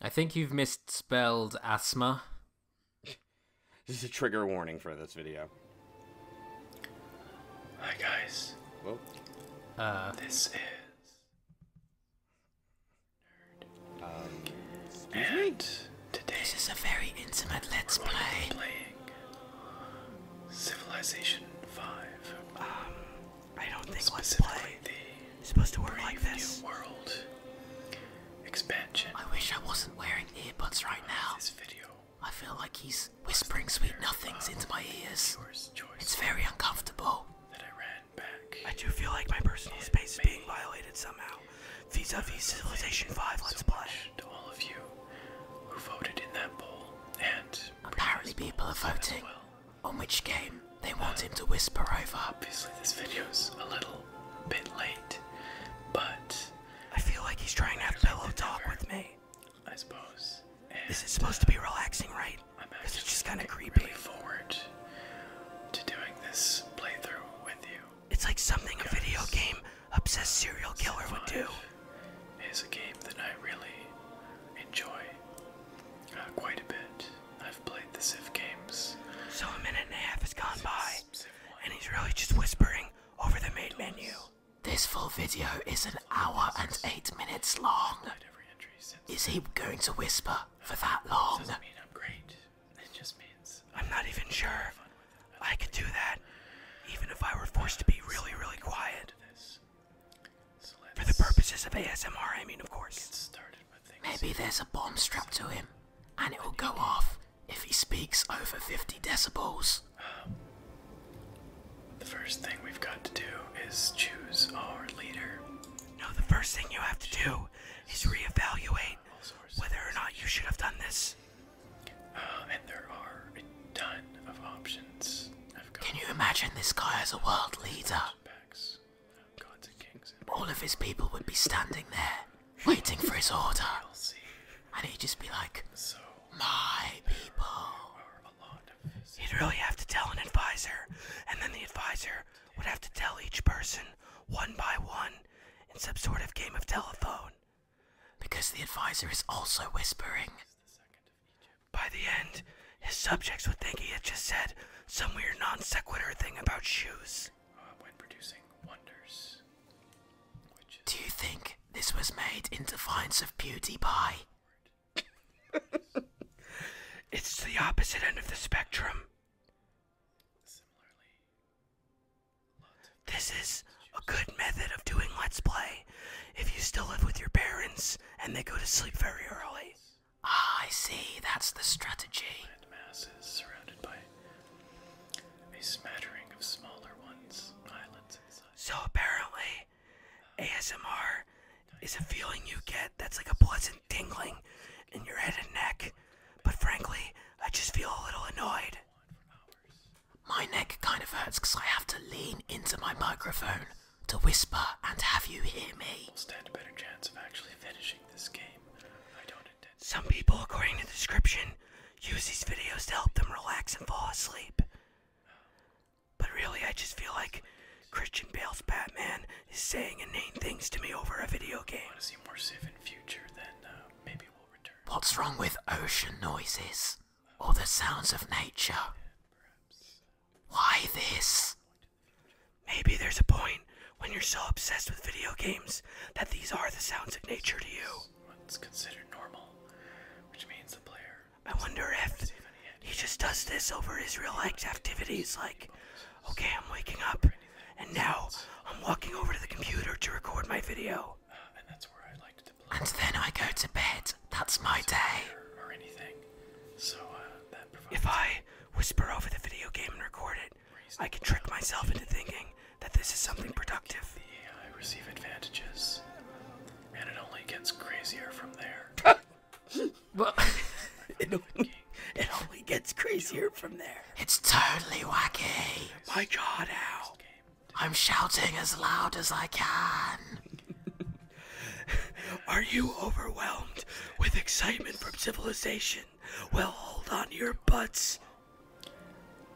I think you've misspelled asthma. this is a trigger warning for this video. Hi guys. Whoa. Uh. this is Nerd. Um, and Today is a very intimate let's play. Playing Civilization 5. Um, I don't think let the supposed to work world expansion. I wish I wasn't wearing earbuds right now. This video. I feel like he's whispering sweet nothings into my ears. It's very uncomfortable. That I ran back. I do feel like my personal space is being violated somehow. Vis-a-vis Civilization 5 Let's Play. To all of you who voted in that poll and apparently people are voting on which game they want him to whisper over. Obviously, this video's a little bit late, but I feel like he's trying to have pillow talk with me. I suppose. And this is supposed to be relaxing, right? Uh, i it's just kind of creepy. forward to doing this playthrough with you. It's like something a video game obsessed serial killer would do. Is a game that I really enjoy uh, quite a bit. I've played the Civ games. So a minute and a half has gone by, and he's really just whispering over the main menu. This full video is an hour and eight minutes long. Is he going to whisper uh, for that long? Doesn't mean I'm great. It just means I'm not even sure. I could do that, even if I were forced to be really, really quiet. This. For the purposes of ASMR, I mean, of course. Maybe there's a bomb strapped to him, and it will go off if he speaks over 50 decibels. Um, the first thing we've got to do is choose our leader. No, the first thing you have to do is reevaluate whether or not you should have done this. Uh, and there are can you imagine this guy as a world leader? All of his people would be standing there, waiting for his order. And he'd just be like, so, my people. he would really have to tell an advisor, and then the advisor would have to tell each person one by one in some sort of game of telephone. Because the advisor is also whispering. By the end, his subjects would think he had just said some weird non sequitur thing about shoes. Oh, when producing wonders. Do you think this was made in defiance of PewDiePie? it's the opposite end of the spectrum. Similarly, this is a good method of doing Let's Play. If you still live with your parents and they go to sleep very early. Ah, I see. That's the strategy. So apparently, ASMR is a feeling you get that's like a pleasant tingling in your head and neck. But frankly, I just feel a little annoyed. My neck kind of hurts because I have to lean into my microphone to whisper and have you hear me. We'll stand a better chance of actually finishing this game. I don't intend. Some people, according to the description, use these videos to help them relax and fall asleep. But really, I just feel like Christian Bale's Batman is saying inane things to me over a video game. want to see more Civ future, then uh, maybe we'll return. What's wrong with ocean noises? or the sounds of nature. Why this? Maybe there's a point when you're so obsessed with video games that these are the sounds of nature to you. What's considered normal, which means the player. I wonder if he just does this over his real life activities, like, okay, I'm waking up, and now I'm walking over to the computer to record my video and then I go to bed. That's my day. Uh, if I whisper over the video game and record it, I can trick myself into thinking that this is something productive. The AI receive advantages, and it only gets crazier from there. well, it, only, it only gets crazier from there. It's totally wacky. My jaw now. I'm shouting as loud as I can. Are you overwhelmed with excitement from civilization? Well, hold on your butts.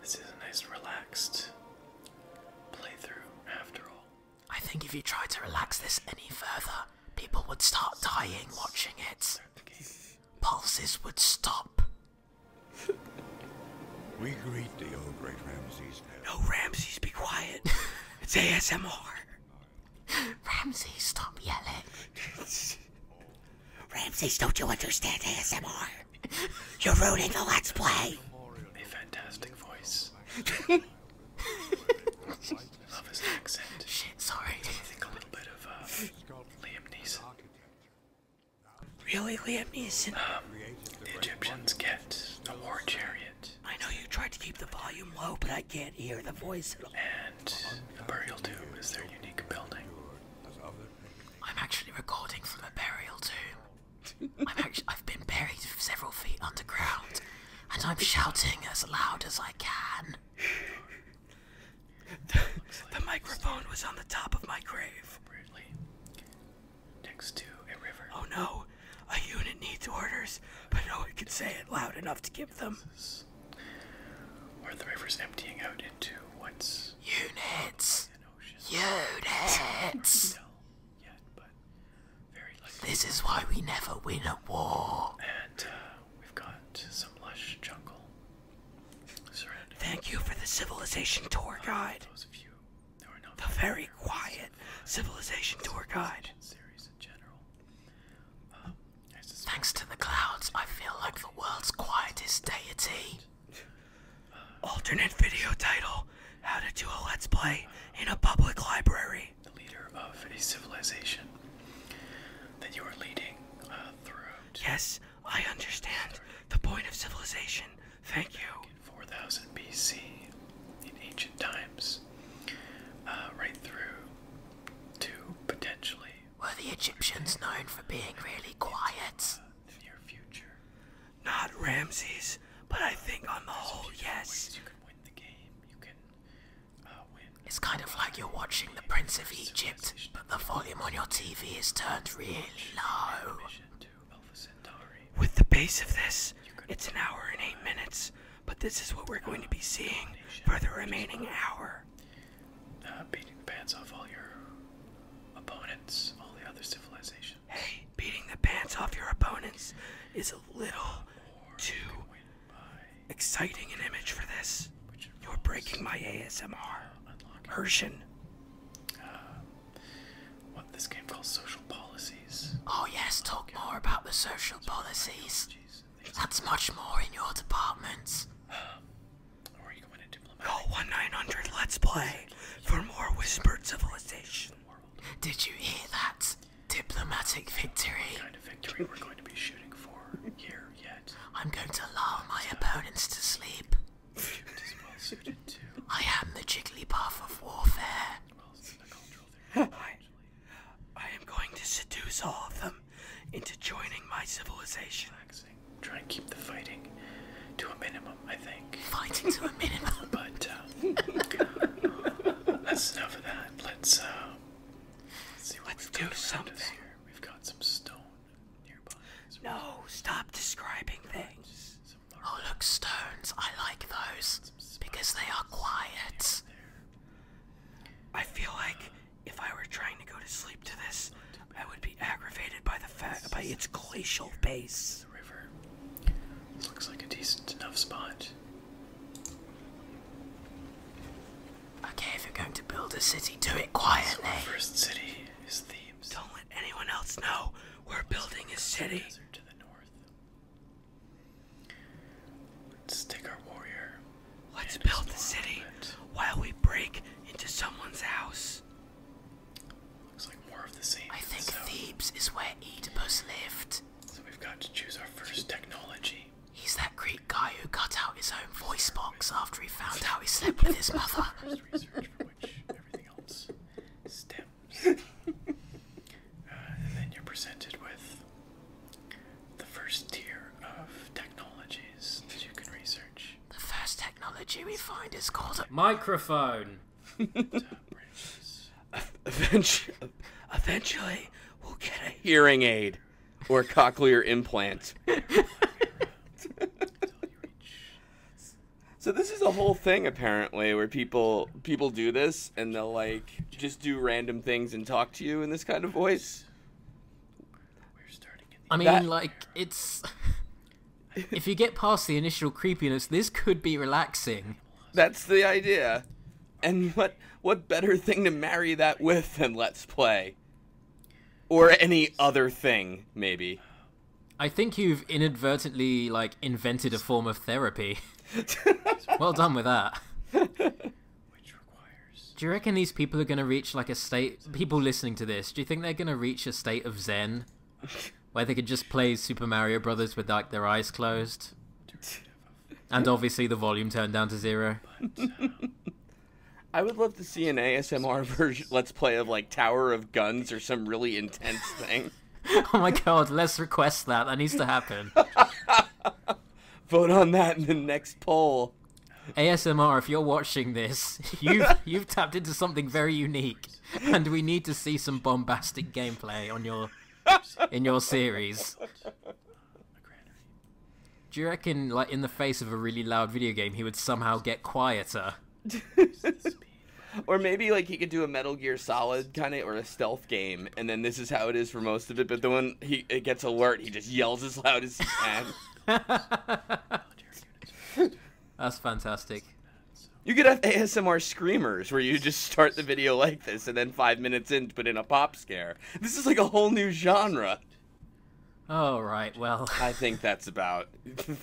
This is a nice, relaxed playthrough, after all. I think if you tried to relax this any further, people would start dying watching it. Pulses would stop. we greet the old great Ramses No, Ramses, be quiet. it's ASMR. Ramses, stop yelling. Ramses, don't you understand ASMR? You're ruining the Let's Play. A fantastic voice. Love his accent. Shit, sorry. think a little bit of uh, Liam Neeson. Really, Liam Neeson? Um, the Egyptians get the war chariot. I know you tried to keep the volume low, but I can't hear the voice And the burial tomb is their unique building. I'm actually recording from a burial tomb. i have been buried several feet underground, and I'm shouting as loud as I can. the microphone was on the top of my grave next to a river. Oh no! A unit needs orders, but no one can say it loud enough to give them. Where the river's emptying out into what's units. An ocean. Units. This is why we never win a war. And uh, we've got some lush jungle Thank you for the civilization tour guide. the very quiet civilization tour guide. Series in general. Uh, Thanks to the clouds, I feel like the world's quietest deity. Uh, Alternate video title: How to do a Let's Play uh, in a Public Library. The leader of a civilization that you are leading through. Yes, I understand the point of civilization. Thank you. in 4000 BC, in ancient times, uh, right through to potentially. Were the Egyptians known for being really quiet? Uh, near future. Not Ramses, but I think on the whole, yes. You can win the game. You can uh, win. It's kind of like you're watching the Prince of Egypt the volume on your TV is turned really low. With the pace of this, it's an hour and eight minutes, but this is what we're going to be seeing for the remaining hour. Uh, beating the pants off all your opponents, all the other civilizations. Hey, beating the pants off your opponents is a little too exciting an image for this. You're breaking my ASMR. Hershen. Uh, what this game calls social policies. Oh yes, talk more about the social policies. That's much more in your department. are you going to diplomatic? Call 1900 Let's Play for more whispered civilization. Did you hear that? Diplomatic victory. kind of victory we're going to be shooting for here yet. I'm going to lull my opponents to sleep. I am the Jigglypuff of warfare. I, I am going to seduce all of them into joining my civilization. Relaxing. Try and keep the fighting to a minimum, I think. Fighting to a minimum. but uh, that's enough of that. Let's uh, let's see what let's do. Something. Here. We've got some stone no, stop describing things. Oh, look, stones. I like those because they are quiet. I feel like if I were trying to go to sleep to this, I would be aggravated by the fact by its glacial base. The river looks like a decent enough spot. Okay, if you're going to build a city, do it quietly. our first city is Thebes. Don't let anyone else know we're building a city. To the north. Let's take our warrior. Let's build the city while we break into someone's house. Looks like more of the same. I think Thebes is where Oedipus lived. So we've got to choose our first technology. He's that Greek guy who cut out his own voice box after he found out he slept with his mother. Uh, then you're presented with the first tier of technologies you can research. The first technology we find is called a microphone. eventually, we'll get a hearing aid or cochlear implant. so this is a whole thing apparently where people people do this and they'll like just do random things and talk to you in this kind of voice. I mean, like it's if you get past the initial creepiness, this could be relaxing. That's the idea. And what what better thing to marry that with than Let's Play? or any other thing maybe i think you've inadvertently like invented a form of therapy well done with that do you reckon these people are going to reach like a state people listening to this do you think they're going to reach a state of zen where they could just play super mario brothers with like their eyes closed and obviously the volume turned down to zero. I would love to see an ASMR version, let's play of like Tower of Guns or some really intense thing. oh my god, let's request that. That needs to happen. Vote on that in the next poll. ASMR, if you're watching this, you've you've tapped into something very unique, and we need to see some bombastic gameplay on your in your series. Do you reckon, like, in the face of a really loud video game, he would somehow get quieter? or maybe like he could do a Metal Gear Solid kind of or a stealth game, and then this is how it is for most of it. But the one he it gets alert, he just yells as loud as he can. That's fantastic. You could have ASMR screamers where you just start the video like this, and then five minutes in, put in a pop scare. This is like a whole new genre. Oh right, well. I think that's about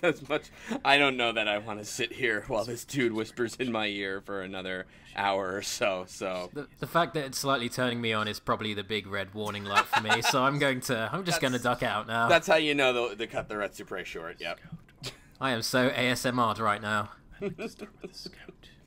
as much. I don't know that I want to sit here while this dude whispers in my ear for another hour or so. So the, the fact that it's slightly turning me on is probably the big red warning light for me. so I'm going to. I'm just going to duck out now. That's how you know the, cut the reds are pretty short. Yep. I am so ASMR'd right now.